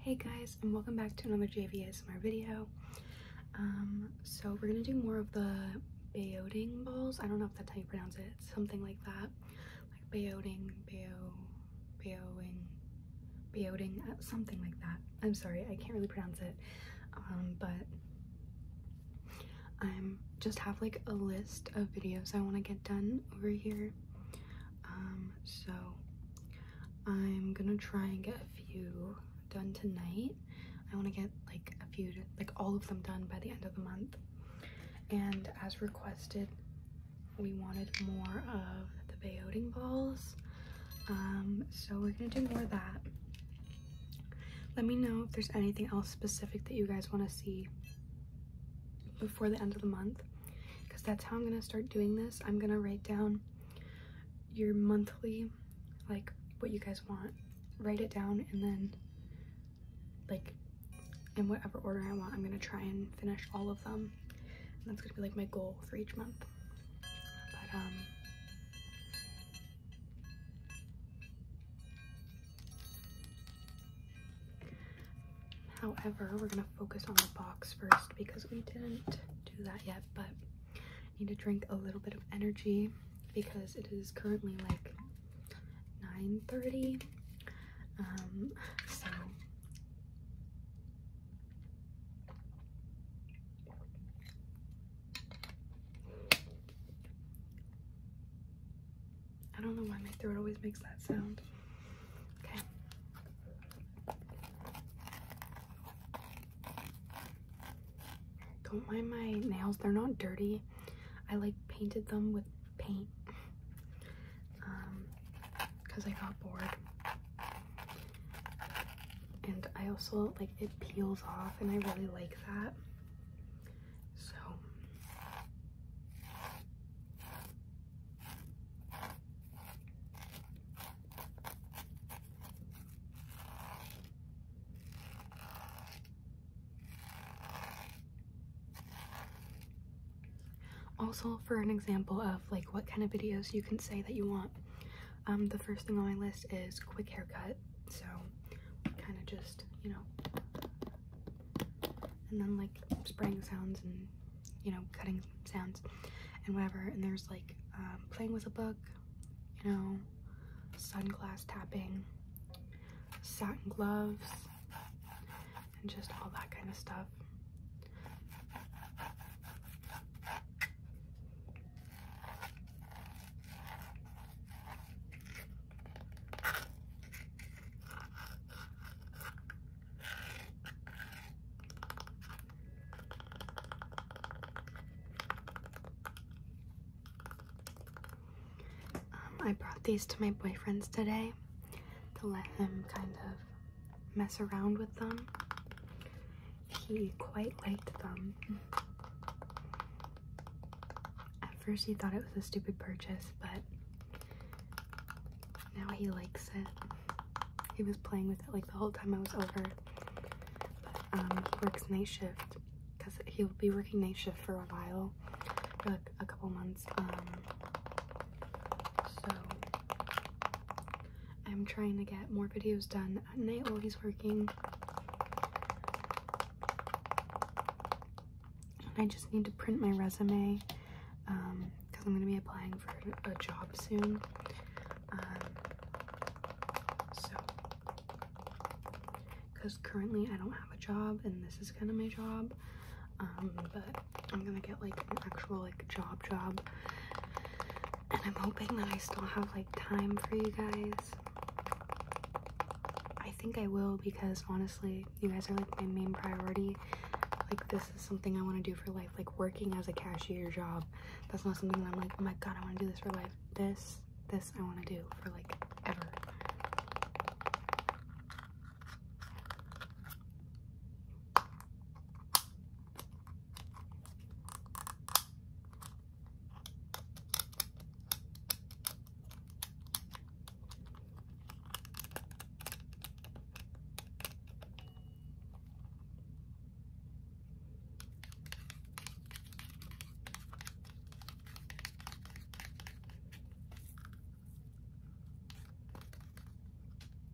Hey guys, and welcome back to another My video. Um, so we're gonna do more of the Bayoting balls. I don't know if that's how you pronounce it. something like that. Like Bayoting, Bayo, Bayoing, Bayoting, uh, something like that. I'm sorry, I can't really pronounce it. Um, but I'm just have like a list of videos I want to get done over here. Um, so I'm gonna try and get a few done tonight. I wanna get like a few, like all of them done by the end of the month. And as requested, we wanted more of the Bayoting balls. Um, so we're gonna do more of that. Let me know if there's anything else specific that you guys wanna see before the end of the month because that's how I'm gonna start doing this. I'm gonna write down your monthly, like what you guys want, write it down, and then like in whatever order I want, I'm gonna try and finish all of them. that's gonna be like my goal for each month. But um However, we're gonna focus on the box first because we didn't do that yet, but I need to drink a little bit of energy because it is currently like 9.30. Um, so I don't know why my throat always makes that sound. Okay. Don't mind my nails, they're not dirty. I like painted them with paint because um, I got bored. And I also like it peels off and I really like that. So also, for an example of like what kind of videos you can say that you want, um, the first thing on my list is quick haircut. So, kind of just you know, and then like spraying sounds and you know, cutting sounds and whatever. And there's like um, playing with a book, you know, sunglasses, tapping, satin gloves, and just all that kind of stuff. Um, I brought these to my boyfriend's today to let him kind of mess around with them. He quite liked them. At first, he thought it was a stupid purchase, but now he likes it. He was playing with it like the whole time I was over. But um, he works night shift because he'll be working night shift for a while, like a couple months. Um, so I'm trying to get more videos done at night while he's working. I just need to print my resume because um, I'm going to be applying for a job soon. Um, so, because currently I don't have a job and this is kind of my job, um, but I'm going to get like an actual like job job. And I'm hoping that I still have like time for you guys. I think I will because honestly, you guys are like my main priority. Like this is something I want to do for life. Like working as a cashier job. That's not something that I'm like, oh my god, I want to do this for life. This, this I want to do for like ever.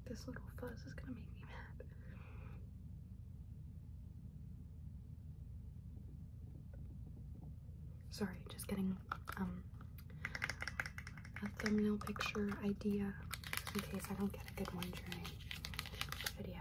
This little fuzz is going to make me mad. Sorry, just getting a um, thumbnail picture idea in case I don't get a good one during the video.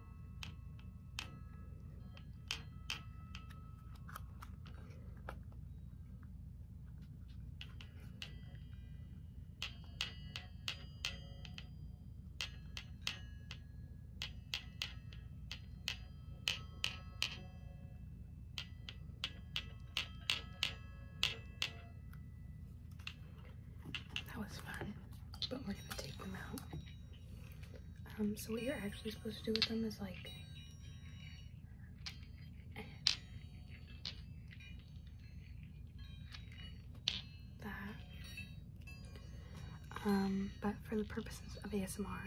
That was fun, but we're going to take them out um, so what you're actually supposed to do with them is like that. Um, but for the purposes of ASMR,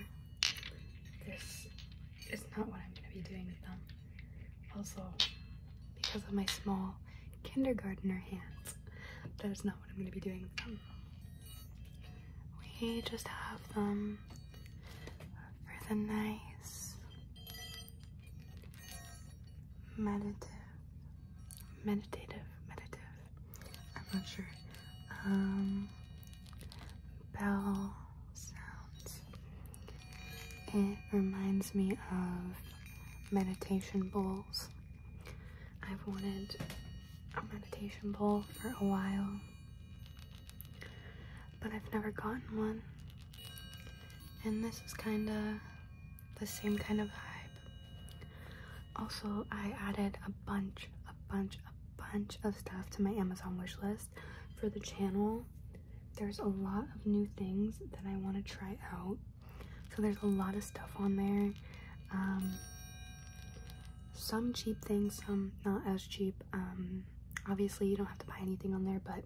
this is not what I'm going to be doing with them. Also, because of my small kindergartner hands, that is not what I'm going to be doing with them we just have them for the nice meditative, meditative, meditative, I'm not sure, um, bell sounds. It reminds me of meditation bowls I've wanted a meditation ball for a while, but I've never gotten one. And this is kind of the same kind of vibe. Also, I added a bunch, a bunch, a bunch of stuff to my Amazon wish list for the channel. There's a lot of new things that I want to try out. So there's a lot of stuff on there. Um, some cheap things, some not as cheap. Um, obviously, you don't have to buy anything on there, but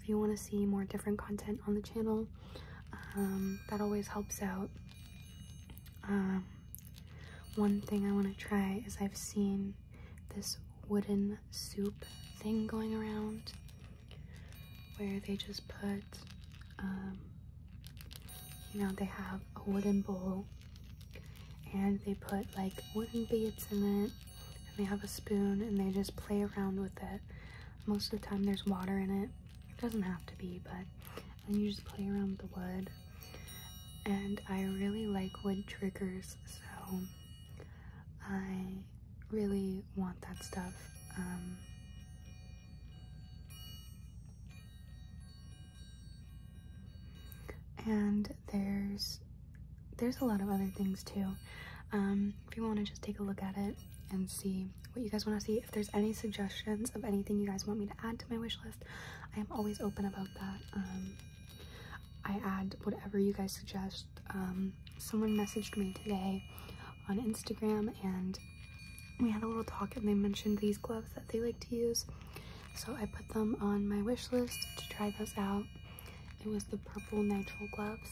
if you want to see more different content on the channel, um, that always helps out. one thing I want to try is I've seen this wooden soup thing going around where they just put you know, they have a wooden bowl and they put like wooden beads in it and they have a spoon and they just play around with it. Most of the time there's water in it. It doesn't have to be, but then you just play around with the wood. And I really like wood triggers, so I really want that stuff. Um, and there's there's a lot of other things too um, if you want to just take a look at it and see what you guys want to see if there's any suggestions of anything you guys want me to add to my wish list i am always open about that um, i add whatever you guys suggest um, someone messaged me today on Instagram and we had a little talk and they mentioned these gloves that they like to use. So I put them on my wish list to try those out. It was the purple nitrile gloves.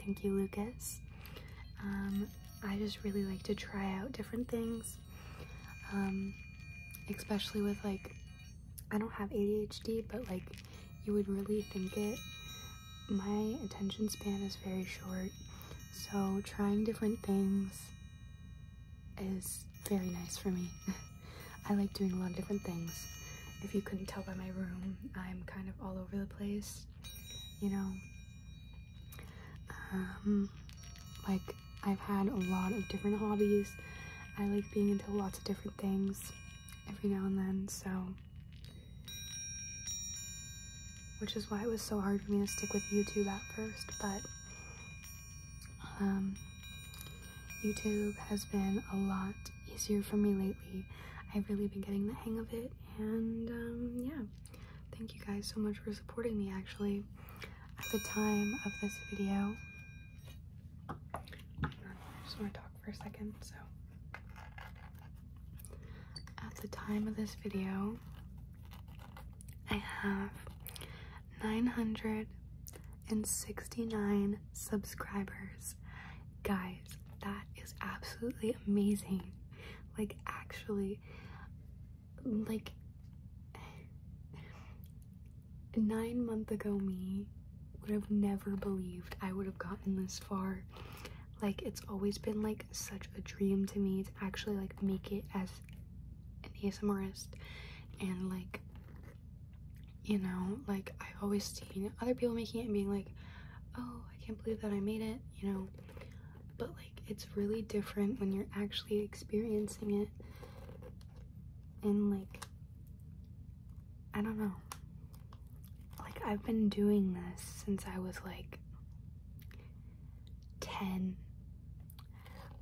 Thank you, Lucas. Um, I just really like to try out different things, um, especially with like, I don't have ADHD, but like you would really think it. My attention span is very short, so trying different things is very nice for me. I like doing a lot of different things. If you couldn't tell by my room, I'm kind of all over the place, you know. Um, like, I've had a lot of different hobbies. I like being into lots of different things every now and then, so which is why it was so hard for me to stick with YouTube at first, but um, YouTube has been a lot easier for me lately. I've really been getting the hang of it, and um, yeah, thank you guys so much for supporting me actually. At the time of this video, I just want to talk for a second, so at the time of this video, I have 969 subscribers. Guys, that is absolutely amazing. Like, actually, like, nine months ago me would have never believed I would have gotten this far like it's always been like such a dream to me to actually like make it as an ASMRist and like you know like I've always seen other people making it and being like oh I can't believe that I made it you know but like it's really different when you're actually experiencing it and like I don't know like I've been doing this since I was like 10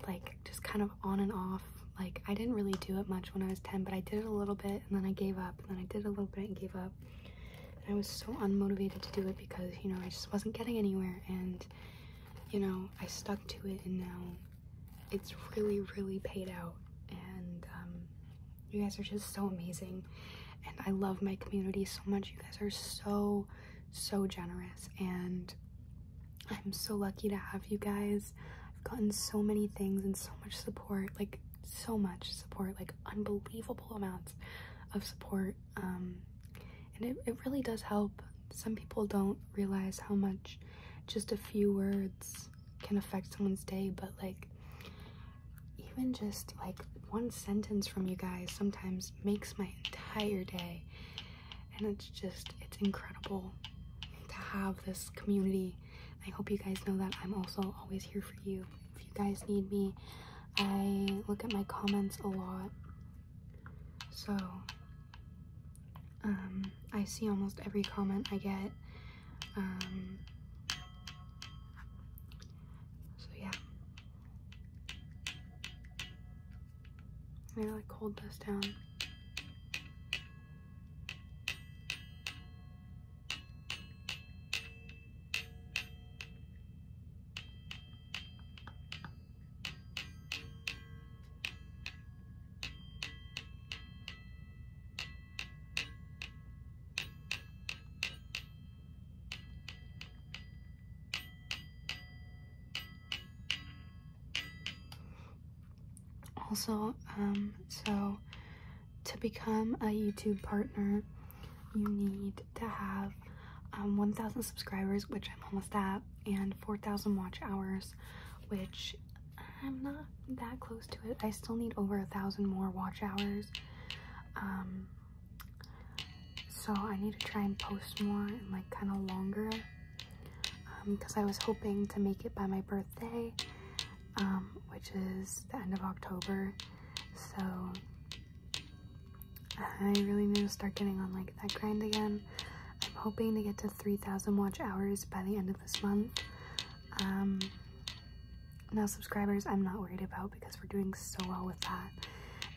like just kind of on and off like I didn't really do it much when I was 10 but I did it a little bit and then I gave up and then I did a little bit and gave up and I was so unmotivated to do it because you know I just wasn't getting anywhere and you know I stuck to it and now it's really really paid out and um, you guys are just so amazing and I love my community so much. You guys are so, so generous, and I'm so lucky to have you guys. I've gotten so many things and so much support, like so much support, like unbelievable amounts of support. Um, and it, it really does help. Some people don't realize how much just a few words can affect someone's day, but like even just like one sentence from you guys sometimes makes my entire day. And it's just, it's incredible to have this community. I hope you guys know that I'm also always here for you. If you guys need me, I look at my comments a lot. So, um, I see almost every comment I get. Um, so yeah, I like hold this down. Also, um, so to become a YouTube partner, you need to have um, 1,000 subscribers, which I'm almost at, and 4,000 watch hours, which I'm not that close to it. I still need over a thousand more watch hours. Um, so I need to try and post more and like kind of longer because um, I was hoping to make it by my birthday um, which is the end of October so I really need to start getting on like that grind again I'm hoping to get to 3,000 watch hours by the end of this month um, now subscribers I'm not worried about because we're doing so well with that.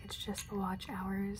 It's just the watch hours.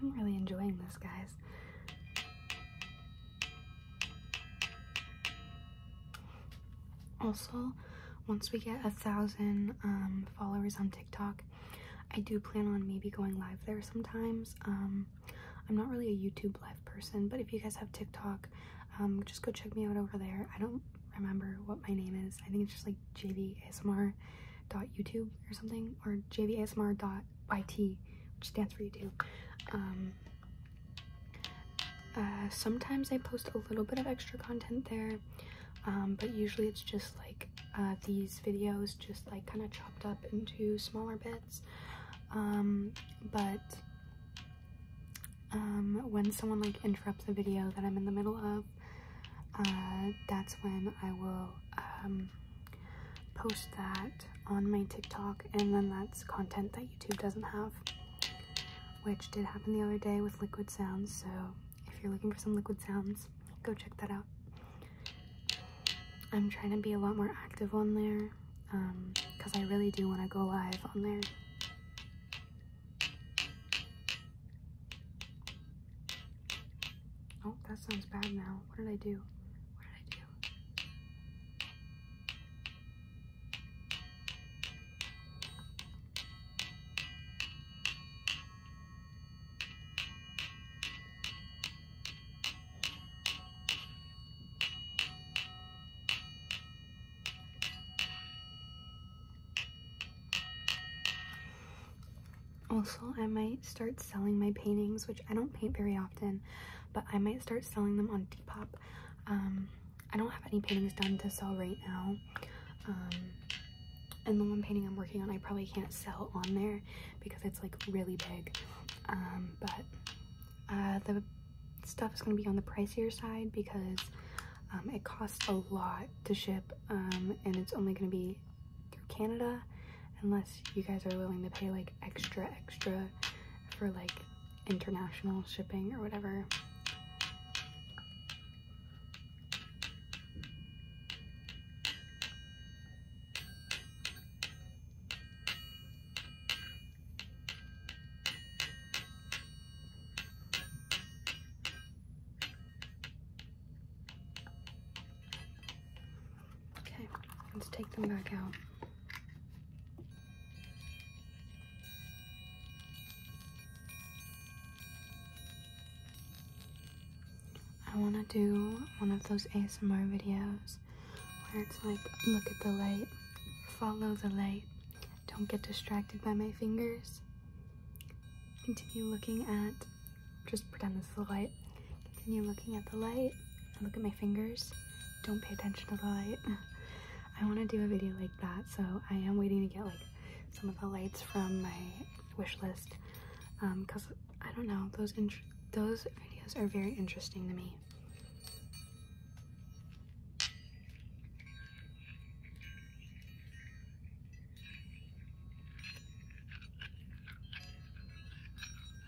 I'm really enjoying this, guys. Also, once we get a thousand um, followers on TikTok, I do plan on maybe going live there sometimes. Um, I'm not really a YouTube live person, but if you guys have TikTok, um, just go check me out over there. I don't remember what my name is. I think it's just like jvasmr.youtube or something, or jvasmr.yt, which stands for YouTube. Uh, sometimes I post a little bit of extra content there, um, but usually it's just like uh, these videos, just like kind of chopped up into smaller bits. Um, but um, when someone like interrupts the video that I'm in the middle of, uh, that's when I will post that on my TikTok, and then that's content that YouTube doesn't have which did happen the other day with liquid sounds. So if you're looking for some liquid sounds, go check that out. I'm trying to be a lot more active on there because um, I really do want to go live on there. Oh, that sounds bad now. What did I do? What did I do? Also, I might start selling my paintings, which I don't paint very often, but I might start selling them on Depop. Um, I don't have any paintings done to sell right now. Um, and the one painting I'm working on, I probably can't sell on there because it's like really big. Um, but uh, the stuff is going to be on the pricier side because um, it costs a lot to ship and it's only going to be through Canada unless you guys are willing to pay like extra extra for like international shipping or whatever. Okay, let's take them back out. I want to do one of those ASMR videos where it's like, look at the light, follow the light, don't get distracted by my fingers, continue looking at, just pretend this is the light, continue looking at the light, look at my fingers, don't pay attention to the light. I want to do a video like that, so I am waiting to get like some of the lights from my wish list because um, I don't know those those videos are very interesting to me.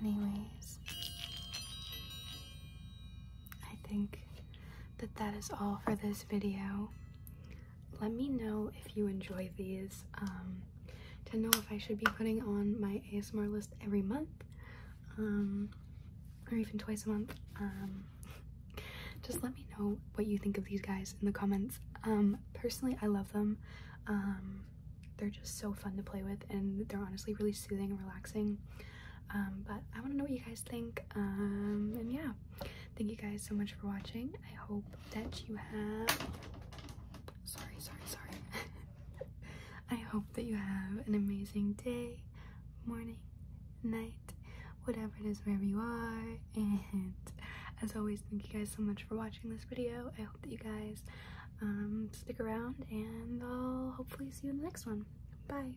Anyways, I think that that is all for this video. Let me know if you enjoy these, um, to know if I should be putting on my ASMR list every month, um, or even twice a month. Um, just let me know what you think of these guys in the comments. personally, I love them. they're just so fun to play with and they're honestly really soothing and relaxing. Um, but I want to know what you guys think. Um, and yeah, thank you guys so much for watching. I hope that you have. Sorry, sorry, sorry. I hope that you have an amazing day, morning, night, whatever it is, wherever you are. And as always, thank you guys so much for watching this video. I hope that you guys um, stick around, and I'll hopefully see you in the next one. Bye.